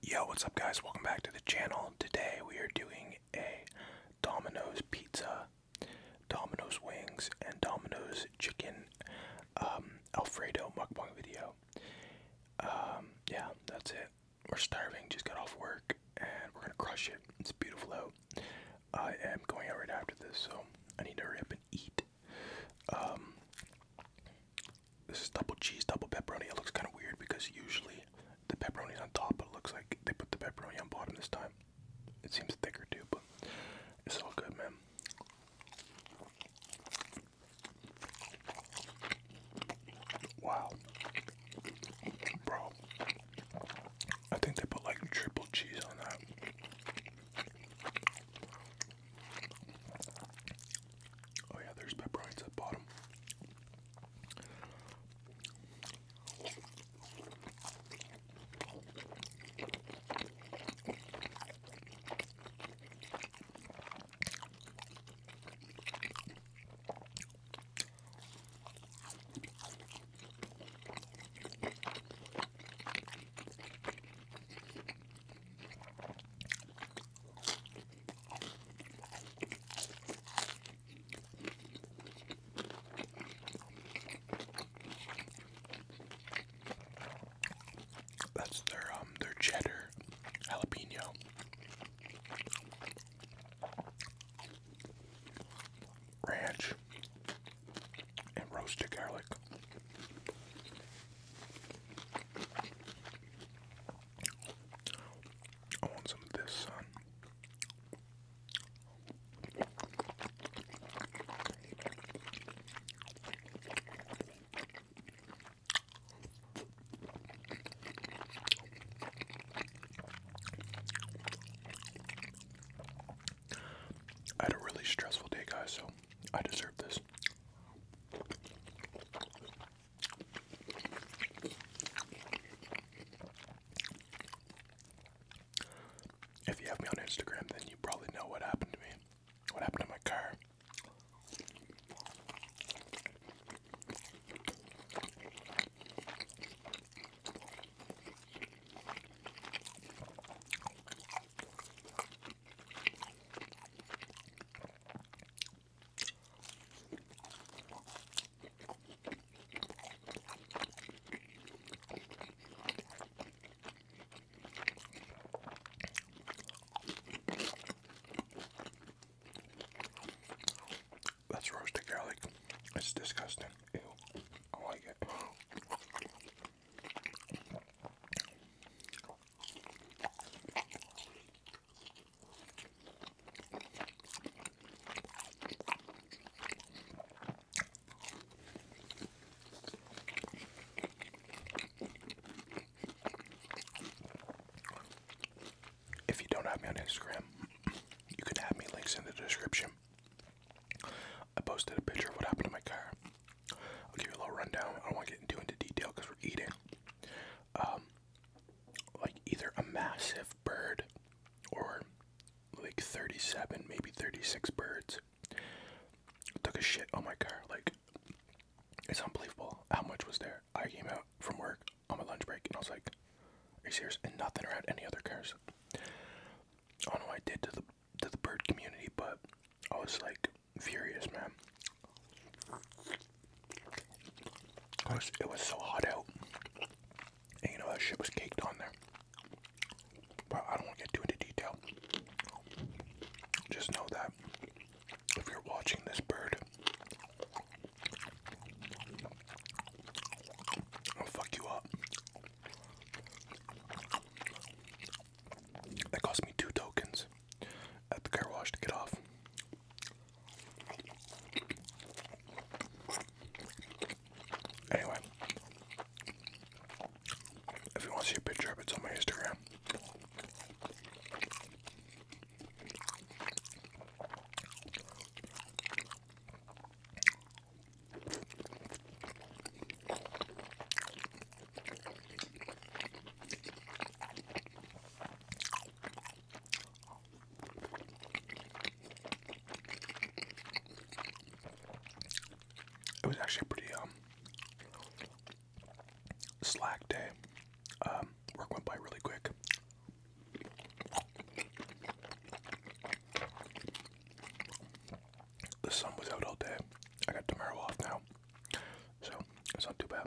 Yo, what's up, guys? Welcome back to the channel. Today we are doing a Domino's pizza, Domino's wings, and Domino's chicken um, Alfredo mukbang video. Um, yeah, that's it. We're starving, just got off work, and we're gonna crush it. It's beautiful out. I am going out right after this, so I need to hurry up and eat. Um, this is double cheese, double pepperoni. It looks kind of weird because usually the pepperoni's on top, but it looks like they put the pepperoni on bottom this time. It seems thicker too, but it's all good, man. Wow. Bro. I think they put like triple cheese on that. Oh yeah, there's pepperoni's at bottom. That's their um their cheddar jalapeno. Ranch and roasted garlic. I want some of this, son. I had a really stressful day, guys, so I deserve this. If you have me on Instagram, then you probably know what happened to me. What happened to my car? That's roasted garlic. It's disgusting. Ew. I like it. If you don't have me on Instagram, you can have me links in the description. I posted a picture of what happened to my car. I'll give you a little rundown. I don't want to get too into detail because we're eating um, like either a massive bird or like 37, maybe 36 birds took a shit on my car. Like, it's unbelievable how much was there. I came out from work on my lunch break and I was like, are you serious? And nothing around any other cars. I don't know I did to the to the bird community, but I was like furious, man. Cause it was so hot out, and you know that shit was caked on there. But I don't want to get too into detail. Just know that if you're watching this bird, I'll fuck you up. That cost me two tokens at the car wash to get off. Anyway, if you want to see a picture of it's on my Instagram. It was actually pretty um slack day. Um, work went by really quick. The sun was out all day. I got tomorrow off now, so it's not too bad.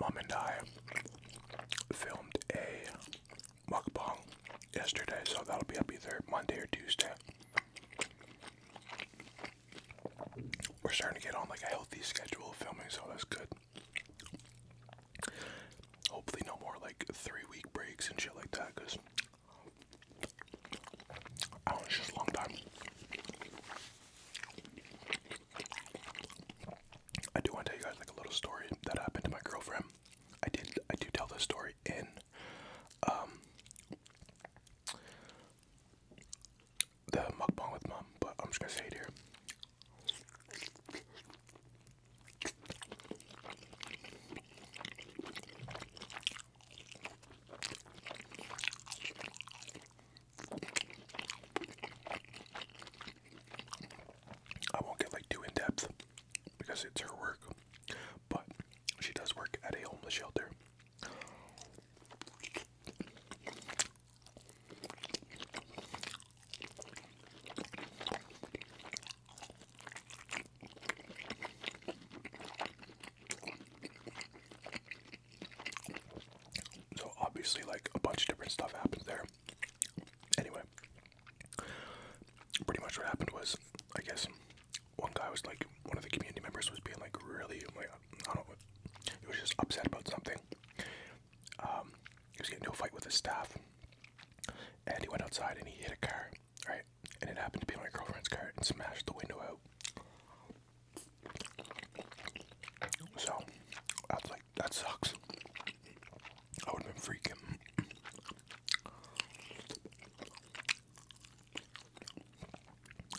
Mom and I filmed a mukbang yesterday, so that'll be up either Monday or Tuesday. We're starting to get on like a healthy schedule of filming, so that's good. Hopefully, no more like three week breaks and shit like that, because I do just a long time. I do want to tell you guys like a little story that happened to my girlfriend. I did I do tell the story in um the mukbang with mom, but I'm just gonna say it here. I won't get like too in depth because it's her work. But she does work at a homeless shelter. So obviously like a bunch of different stuff happens there. Anyway, pretty much what happened was, I guess, one guy was like, one of the community members was being like really, like, I don't know, he was just upset about something. Um, he was getting into a fight with his staff, and he went outside and he hit a car, right? And it happened to be my girlfriend's car and smashed the window out. So, that's like, that sucks. I would have been freaking.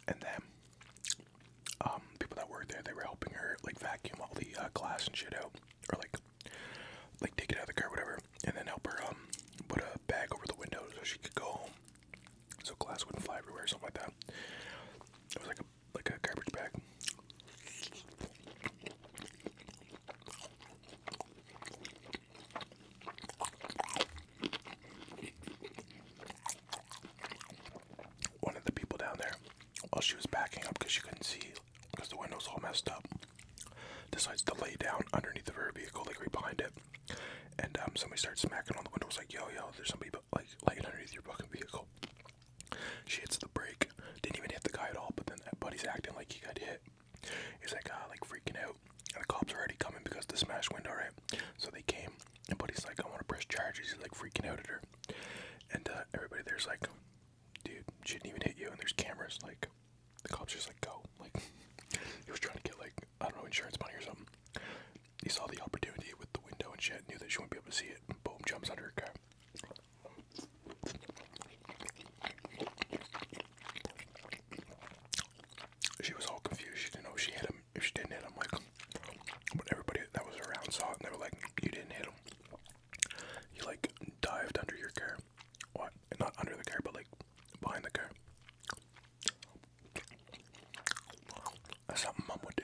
And then, um, people that worked there, they were helping her like vacuum all the uh, glass and shit out, or like, like take it out of the car, whatever, and then help her um put a bag over the window so she could go home, so glass wouldn't fly everywhere, something like that. It was like a like a garbage bag. One of the people down there, while she was backing up because she couldn't see because the window's all messed up, decides to lay down underneath of her vehicle, like right behind it. And um, somebody starts smacking on the window. It's like, yo, yo, there's somebody like laying underneath your fucking vehicle. She hits the brake. Didn't even hit the guy at all, but then that buddy's acting like he got hit. He's like, uh, like freaking out. And the cops are already coming because the smash window, right? So they came, and Buddy's like, I want to press charges. He's like freaking out at her. And uh, everybody there's like, dude, she didn't even hit you. And there's cameras. Like, the cops just like, go. Like, he was trying to get like, I don't know, insurance money or something. He saw the opportunity with the window and shit, knew that she wouldn't be able to see it. Boom, jumps under her car. She was all confused. She didn't know if she hit him. If she didn't hit him, like, but everybody that was around saw it, and they were like, "You didn't hit him. You like dived under your car. What? Not under the car, but like behind the car." That's something mom would do.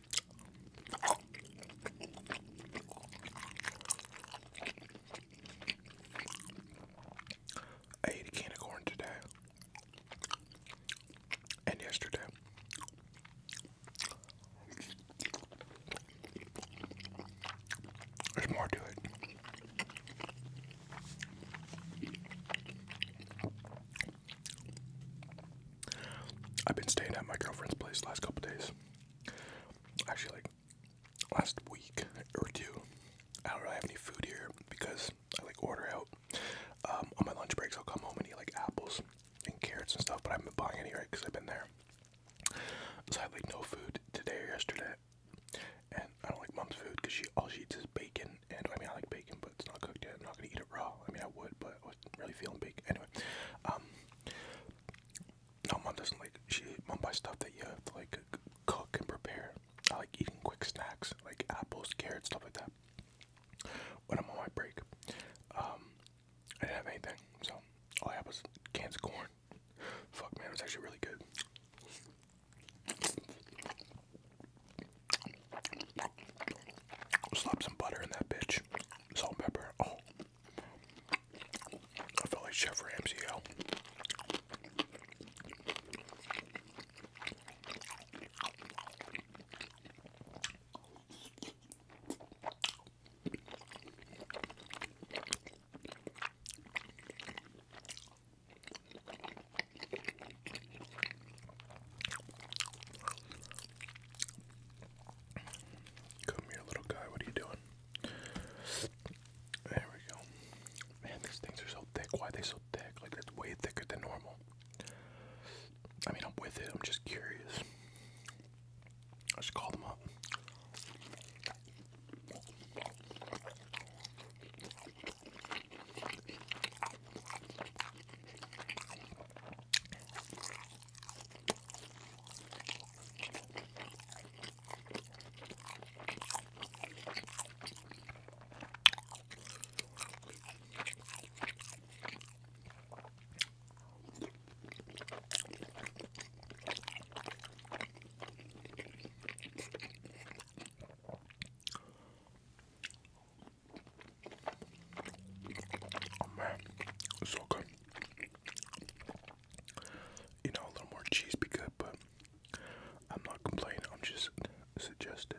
I ate a candy corn today and yesterday. There's more to it. I've been staying at my girlfriend's place the last couple days. Actually, like last week or two, I don't really have any food here because I like order out. Um, on my lunch breaks, I'll come home and eat like apples and carrots and stuff, but I haven't been buying any right because I've been there. So I had like no food today or yesterday, and I don't like mom's food because she all she eats is bacon. And I mean, I like bacon, but it's not cooked yet. I'm not gonna eat it raw. I mean, I would, but I wasn't really feeling bacon anyway. Um, no, mom doesn't like. She mom buys stuff that you have to like cook and prepare. I like eating quick snacks like apples, carrots, stuff like that. When I'm on my break, um, I didn't have anything, so all I had was cans of corn. Fuck man, it was actually really good. Slap some butter in that bitch. Salt pepper. Oh. I felt like Chef Ramsay. Yo. Come here, little guy. What are you doing? There we go. Man, these things are so thick. Why are they so thick? Like, it's way thicker than normal. I mean, I'm with it. I'm just curious. I just call them up. Oh man, it's so good. You know, a little more cheese be good, but I'm not complaining, I'm just suggesting.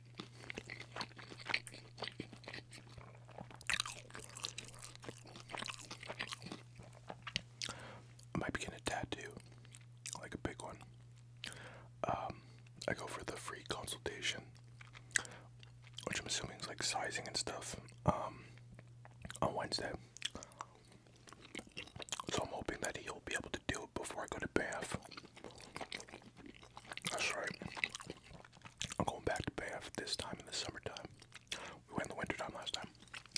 I might be getting a tattoo, like a big one. Um, I go for the free consultation, which I'm assuming is like sizing and stuff, um, on Wednesday. So I'm hoping that he'll be able to do it before I go to bath. That's right. I'm going back to Bath this time in the summertime. We went in the wintertime last time.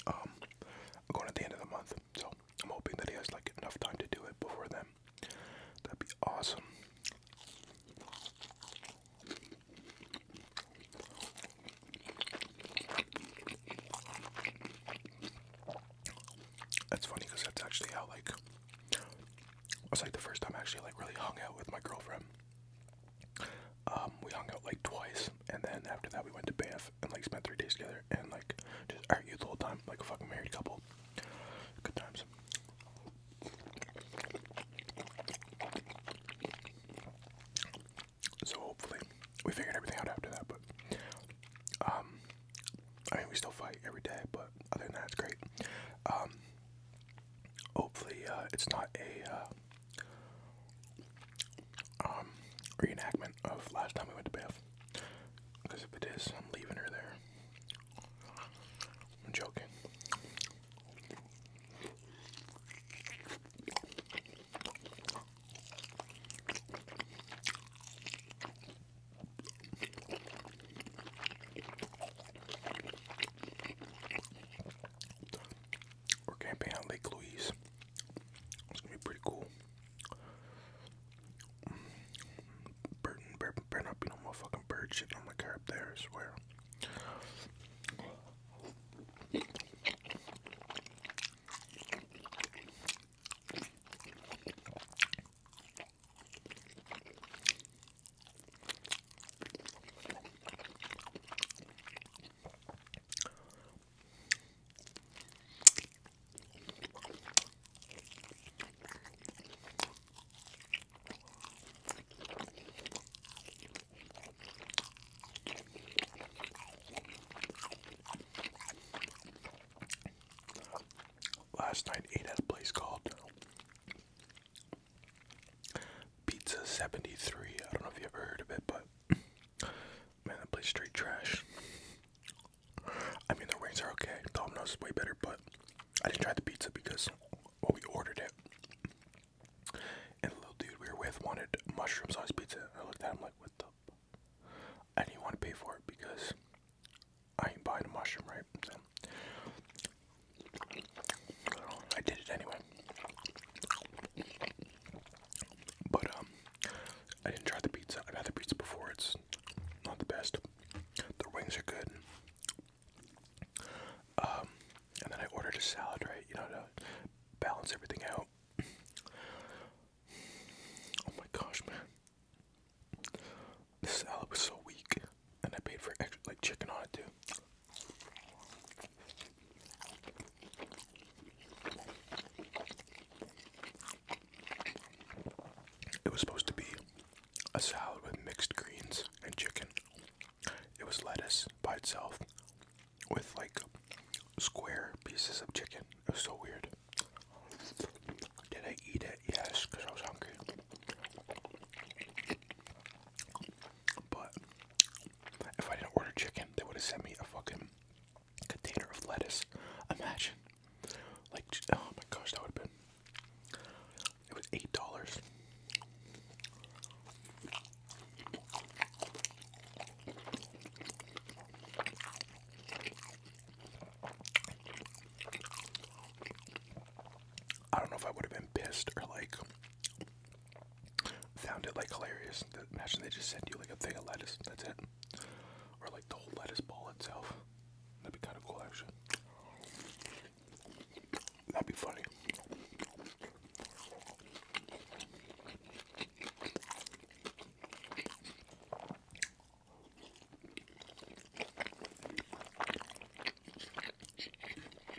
Um, I'm going at the end of the month, so I'm hoping that he has like enough time to do it before then. That'd be awesome. That's funny because that's actually how like it was like the first time I actually like really hung out with my girlfriend. Um, we hung out like twice, and then after that we went to Banff and like spent three days together and like just argued the whole time like a fucking married couple. Good times. So hopefully we figured everything out after that, but um, I mean we still fight every day, but other than that it's great. Um, Hopefully, uh, it's not a uh, um, reenactment of last time we went to Beth. Because if it is, I'm leaving her there. I'm joking. We're camping on Lake Louise. It's gonna be pretty cool. Burton, better, better not be no motherfucking bird shit on my car there, I swear. Last night ate at a place called Pizza 73. I don't know if you ever heard of it, but man, that place straight trash. I mean, the wings are okay. Domino's is way better, but I didn't try the pizza because when we ordered it, and the little dude we were with wanted mushroom sauce pizza. I looked at him like, what the? I didn't want to pay for it because I ain't buying a mushroom, right? I did it anyway. But um, I didn't try the pizza. I've had the pizza before. It's not the best. The wings are good. Um, and then I ordered a salad, right? You know to balance everything out. Oh my gosh, man the salad was so weak, and I paid for extra like chicken on it too. It was supposed to be a salad with mixed greens and chicken. It was lettuce by itself with like square pieces of chicken. It was so weird. Did I eat it? Yes, because I was hungry. But if I didn't order chicken, they would have sent me a fucking container of lettuce. Imagine. Like, oh my gosh, that would have been. It was $8. I don't know if I would have been pissed or like found it like hilarious. Imagine they just send you like a thing of lettuce. That's it, or like the whole lettuce ball itself. That'd be kind of cool, actually. That'd be funny.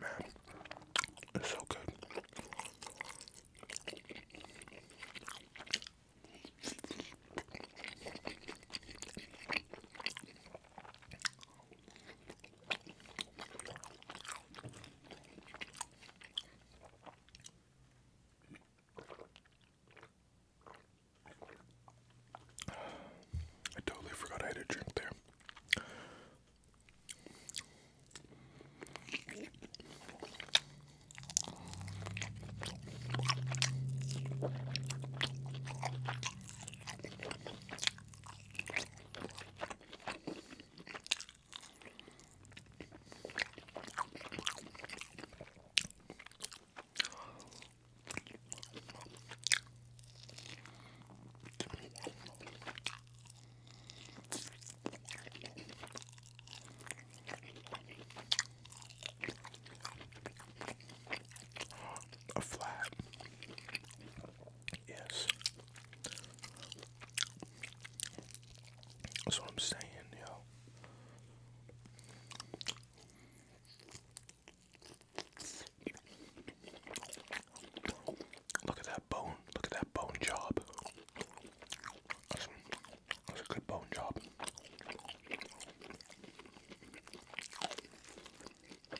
Man, it's so good. I totally forgot I had a drink there. A flat Yes. That's what I'm saying, yo. Look at that bone. Look at that bone job. That's, a good bone job.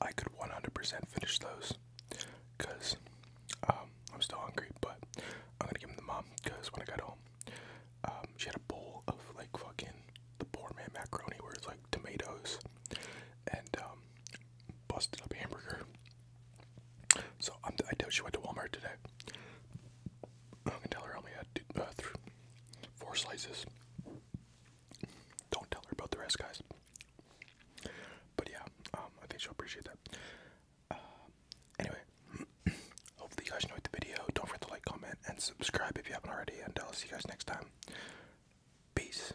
I could 100% finish those because um, I'm still hungry, but I'm gonna give them to mom because when I got home, um, she had a bowl of like fucking the poor man macaroni where it's like tomatoes and um, busted up hamburger so I'm, I doubt she went to Walmart today. I can tell her I only had two, uh, three, four slices. Don't tell her about the rest, guys. But yeah, um, I think she'll appreciate that. Uh, anyway, hopefully you guys enjoyed the video. Don't forget to like, comment, and subscribe if you haven't already. And I'll see you guys next time. Peace.